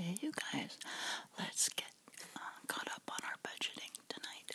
Hey, you guys, let's get uh, caught up on our budgeting tonight.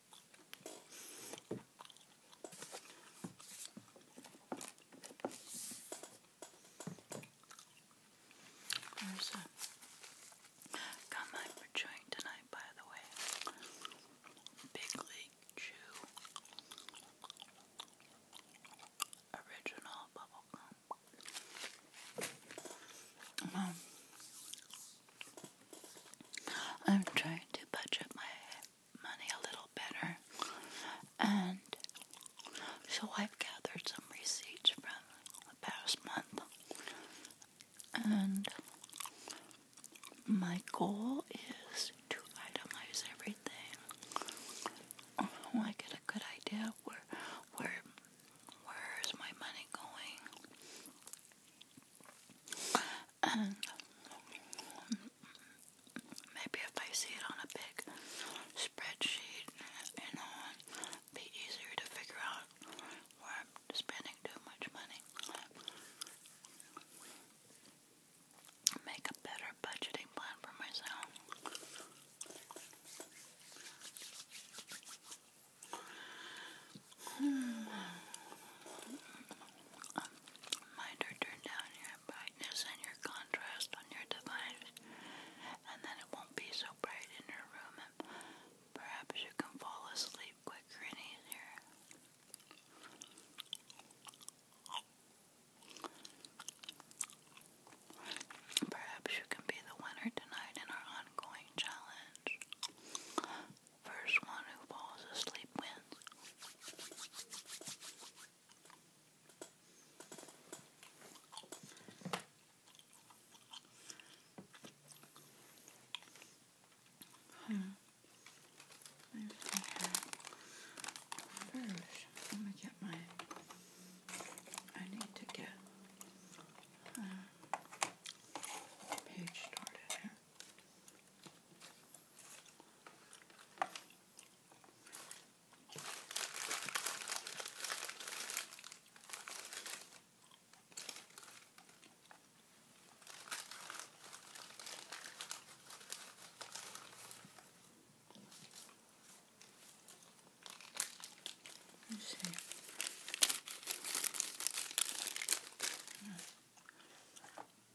There's a combine we tonight, by the way. Big League Chew Original Bubblegum. Um, I'm trying to budget my money a little better. And so I've gathered some receipts from the past month. And my goal is to itemize everything. Oh, I get a good idea where where where's my money going maybe if I see it on a big spreadsheet, it'd be easier to figure out where I'm spending too much money. Make a better budgeting plan for myself. Hmm. Minder, turn down your brightness and your contrast on your device, and then it won't be so bright in your room, and perhaps you can fall asleep quicker and easier. Perhaps you can be the winner tonight in our ongoing challenge. First one who falls asleep wins. Hmm. First, let me get my. I need to get uh, page started here. Let's see. Yeah.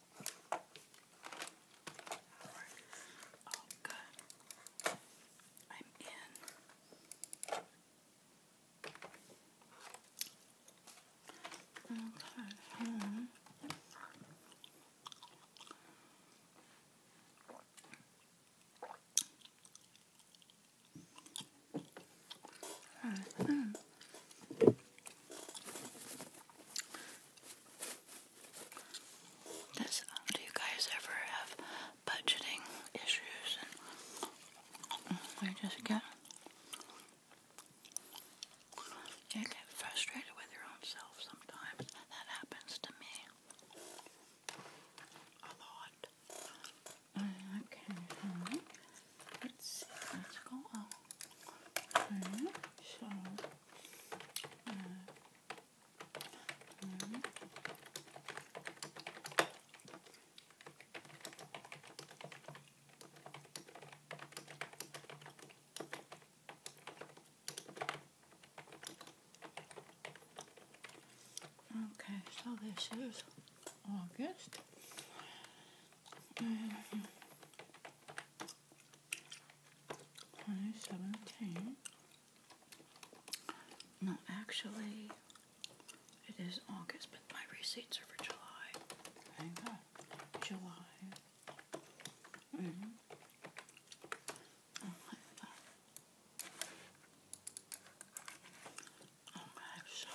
Oh, good. I'm in. Okay, hmm. Mm -hmm. Um, do you guys ever have budgeting issues and mm, just get you get frustrated with your own self sometimes. That happens to me a lot. Mm, okay, let's Let's go. Right. Mm, so. Okay, so this is August. Um, 2017. No, actually, it is August, but my receipts are for July. Thank God. July. Mm -hmm. Oh my God. Okay, oh so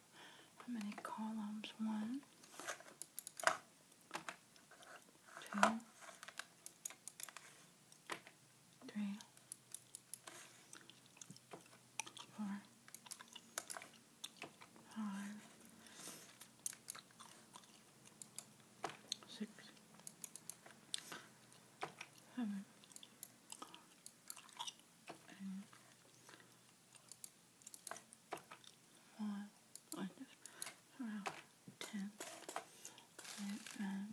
how many columns? One, two, three, four, five, six, seven, eight five, like this, around ten, and then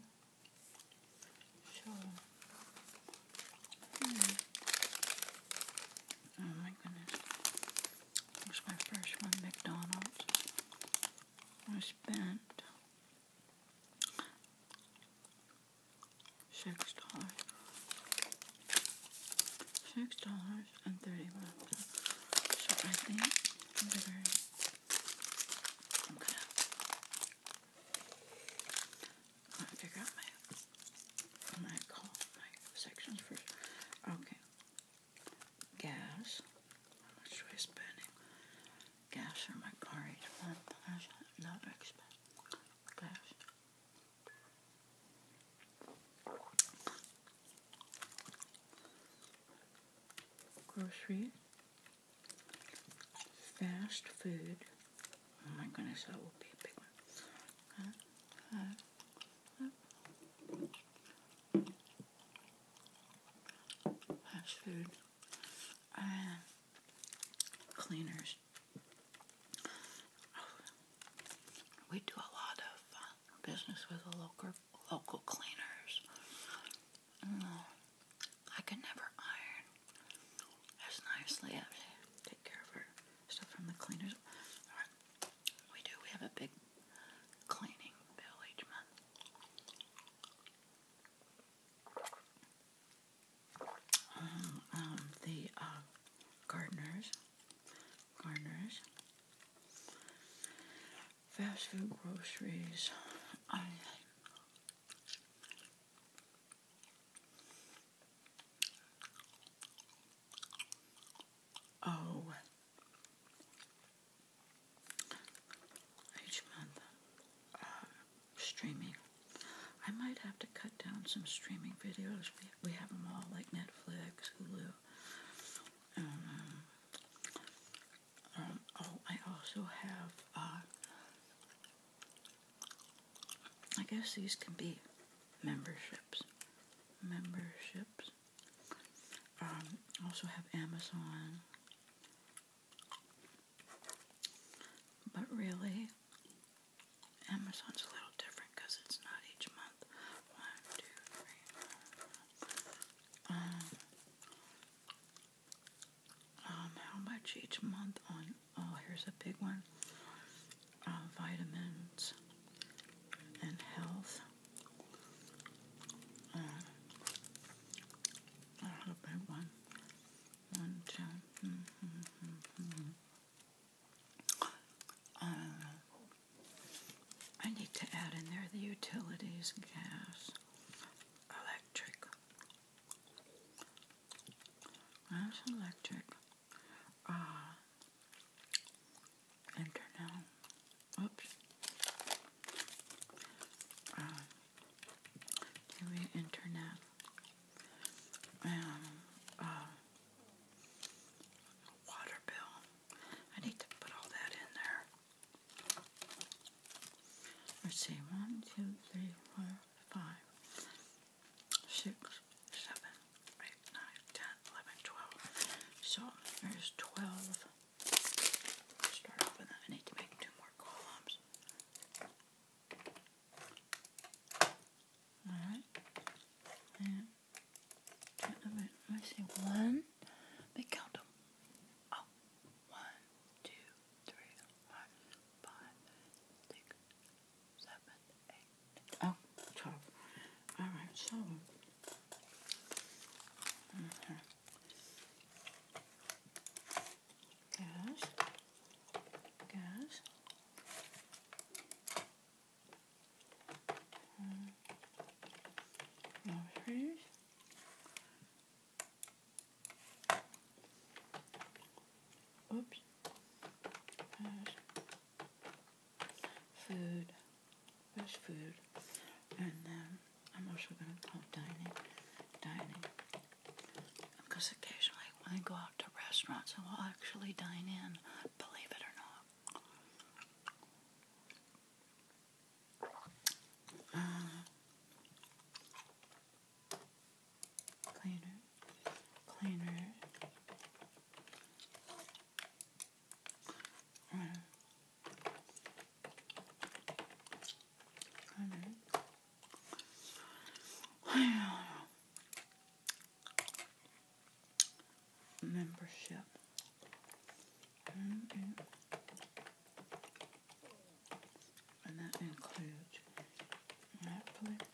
shoulder. Hmm. Oh my goodness. It was my first one, McDonald's. I spent six dollars six dollars and thirty one so I think I'm gonna figure out my i call my sections first okay gas how much do I spend gas for my car each month not expensive gas grocery, fast food. Oh my goodness, that will be a big one. fast food, uh, cleaners, we do a lot of uh, business with the local local cleaners. Mm, I can never iron as nicely. I take care of our stuff from the cleaners. We do. We have a big cleaning bill each month. Uh, um, the uh, gardeners, gardeners, fast food groceries. oh, each uh, streaming. I might have to cut down some streaming videos. We, we have them all, like Netflix, Hulu. Um, um, oh, I also have, uh, I guess these can be memberships. Memberships. Um, also have Amazon. But really, Amazon's a little different because it's not each month. One, two, three. Um, um, how much each month on? Oh, here's a big one. Uh, vitamins and health. Uh, uh, I need to add in there the utilities, gas, electric. That's electric. Uh, enter now. Oops. Uh, TV, internet, and uh, water bill. I need to put all that in there. Let's see, one, two, three, four, five, six, seven, eight, nine, ten, eleven, twelve. So there's twelve. Start with that. I need to make two more columns. Alright. And let me see. One. Big count Oh. One, two, three, four, five, Alright, so. Gosh. Gosh. Um, Oops. Gosh. Food. Fresh food. And then um, I'm also going to call dining. Dining. Because occasionally when I go out to restaurants, I will actually dine in, believe it or not. Uh, cleaner, cleaner. Uh, cleaner. Membership. And that includes Netflix,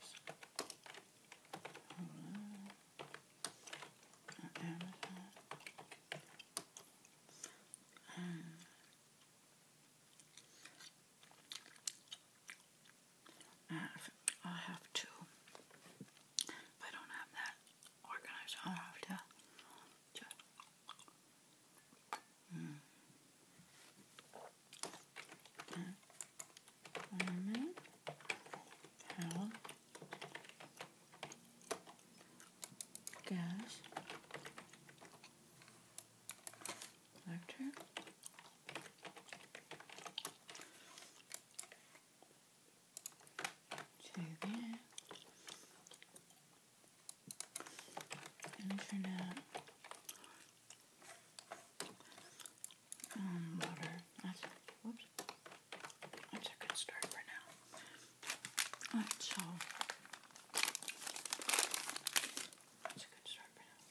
Amazon, and hmm. I'll have to, if I don't have that organized, I'll have to, to mm. gas, nectar. To there. And That's, a good start for now. so. That's a good start for now.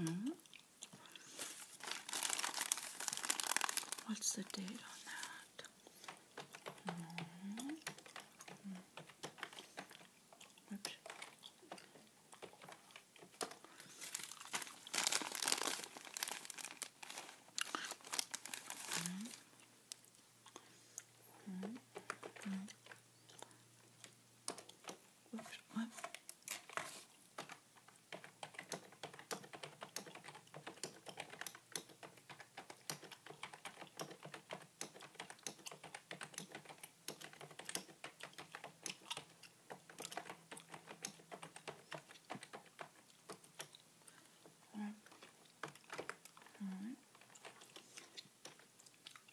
Mm. What's the date on that? Mm. Mm. Oops. Mm. Mm. Whoops, what? All right. All right.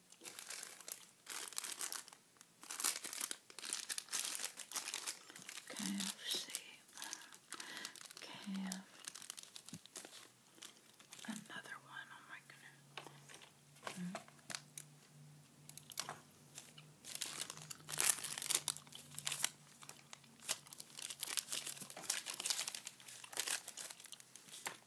KFC, KF, another one, oh my goodness.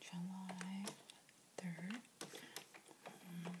July third. Mm.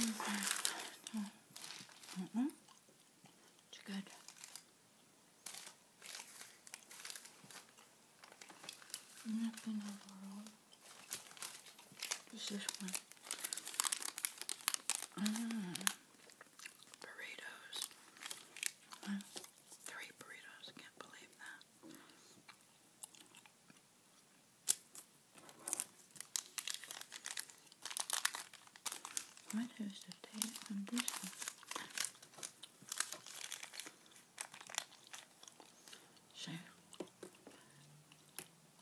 Mm-hmm. Mm-hmm. It's good. Nothing overall. Just this one. Mm burritos. Three burritos, can't believe that. What is the date on this one? So,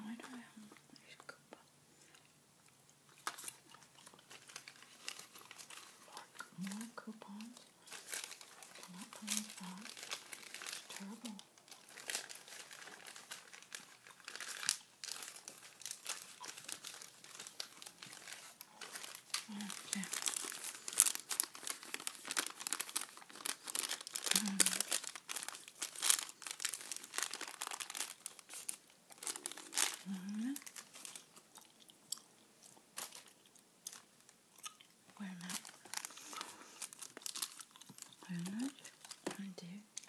Why do I have these Koopa? More coupons. I'm not paying for that. It's terrible. Okay. Um. Um. Where am I? Where am I? Trying to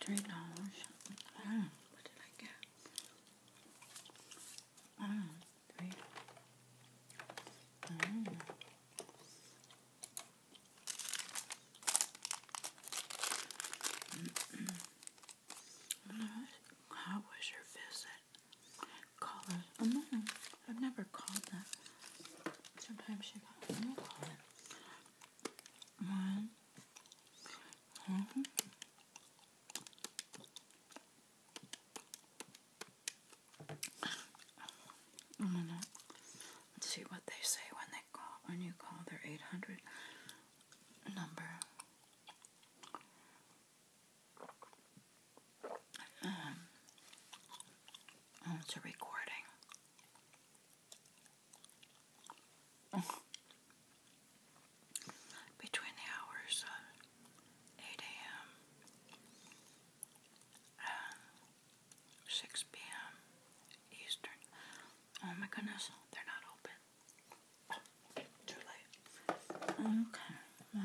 Three dollars. Mm, what did I get? Mm, three. Mm. How was your visit? Callers. Oh no, I've never called that. Sometimes she call it. One, let's mm-hmm. see what they say when they call when you call their eight hundred number. Um, oh, it's a recording. Between the hours 8 a.m. and 6 p.m. Eastern. Oh my goodness, they're not open. too late. Okay. Well.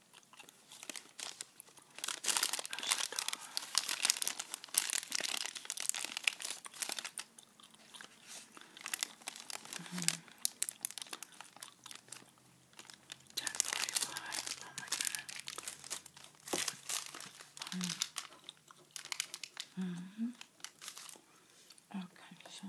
Mm-hmm. 1045, oh my god. Mm. Mm hmm Okay, so.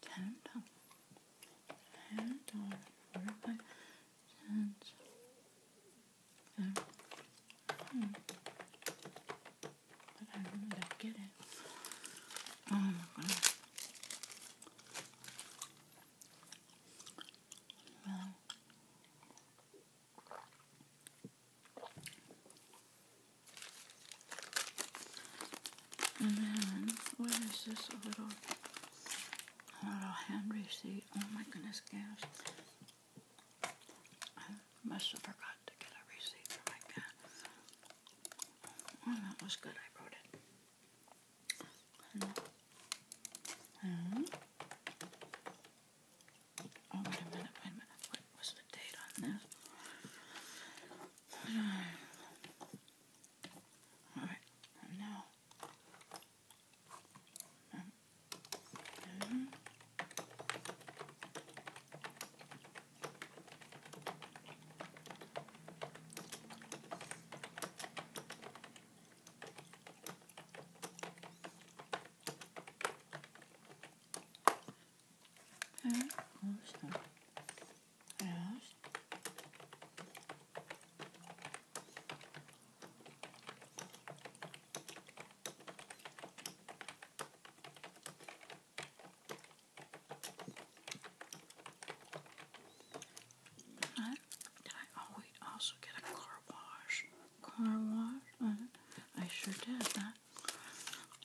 ten down, ten down, four five, ten I really don't get it. Oh my god. Well, and then, what is this? A little, a little hand receipt. Oh my goodness, gas. I must have forgot to get a receipt for my gas. Oh, that was good. I wrote it. And, Oh, wait a minute, wait a minute. What was the date on this? Alright, now. Mm -hmm. Evet, I always oh, also get a car wash. Car wash? Uh, I sure did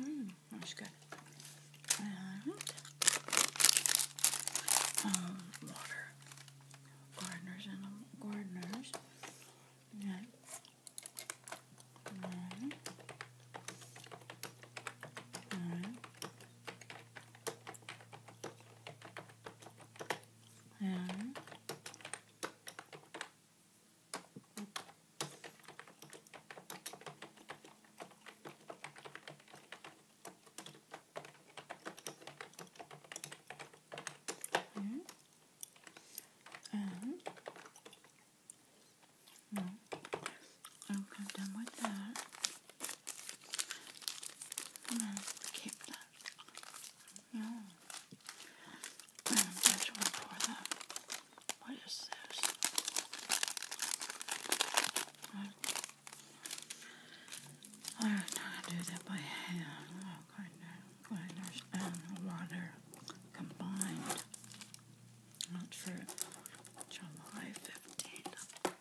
Mmm, that's good. And um, water. Gardeners and um, gardeners. Yeah. All right. All right. And and Mm. Okay, done with that. I'm keep that. No. I'm just gonna pour that. What is this? I don't know how to do that by hand. Oh, goodness. Goodness. water combined. Not for July 15th.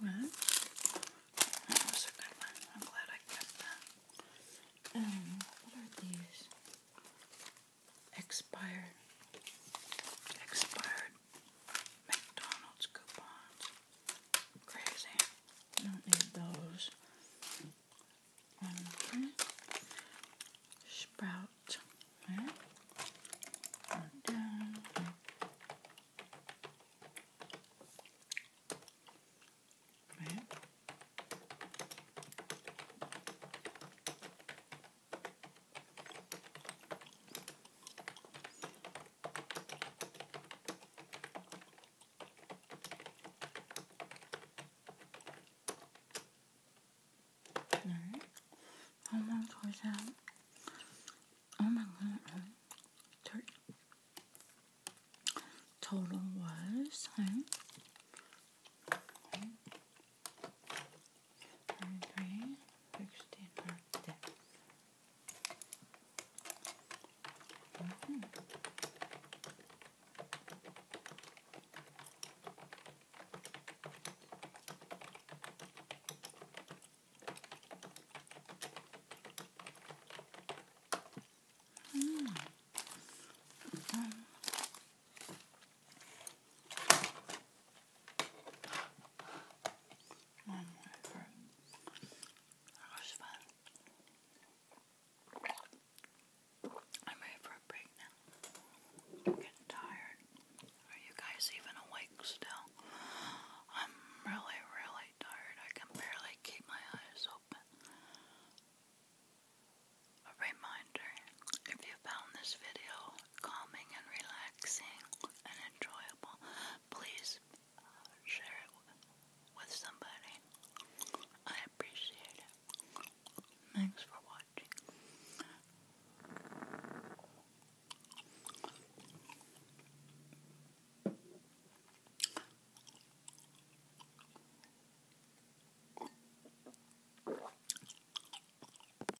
Well, I'm glad I kept that. Um, what are these? Expired. Expired McDonald's coupons. Crazy. Don't need those. Um, Sprout. There. down. Right. 네. 한번 더이상 엄마는 절 저런 월 살. 33, 16, or 10. Mm -hmm. Mm. Mm -hmm. I'm ready for a break now. getting tired. Are you guys even awake still? I'm really, really tired. I can barely keep my eyes open. A reminder, if you found this video calming and relaxing and enjoyable, please uh, share it with somebody. I appreciate it. Thanks for watching.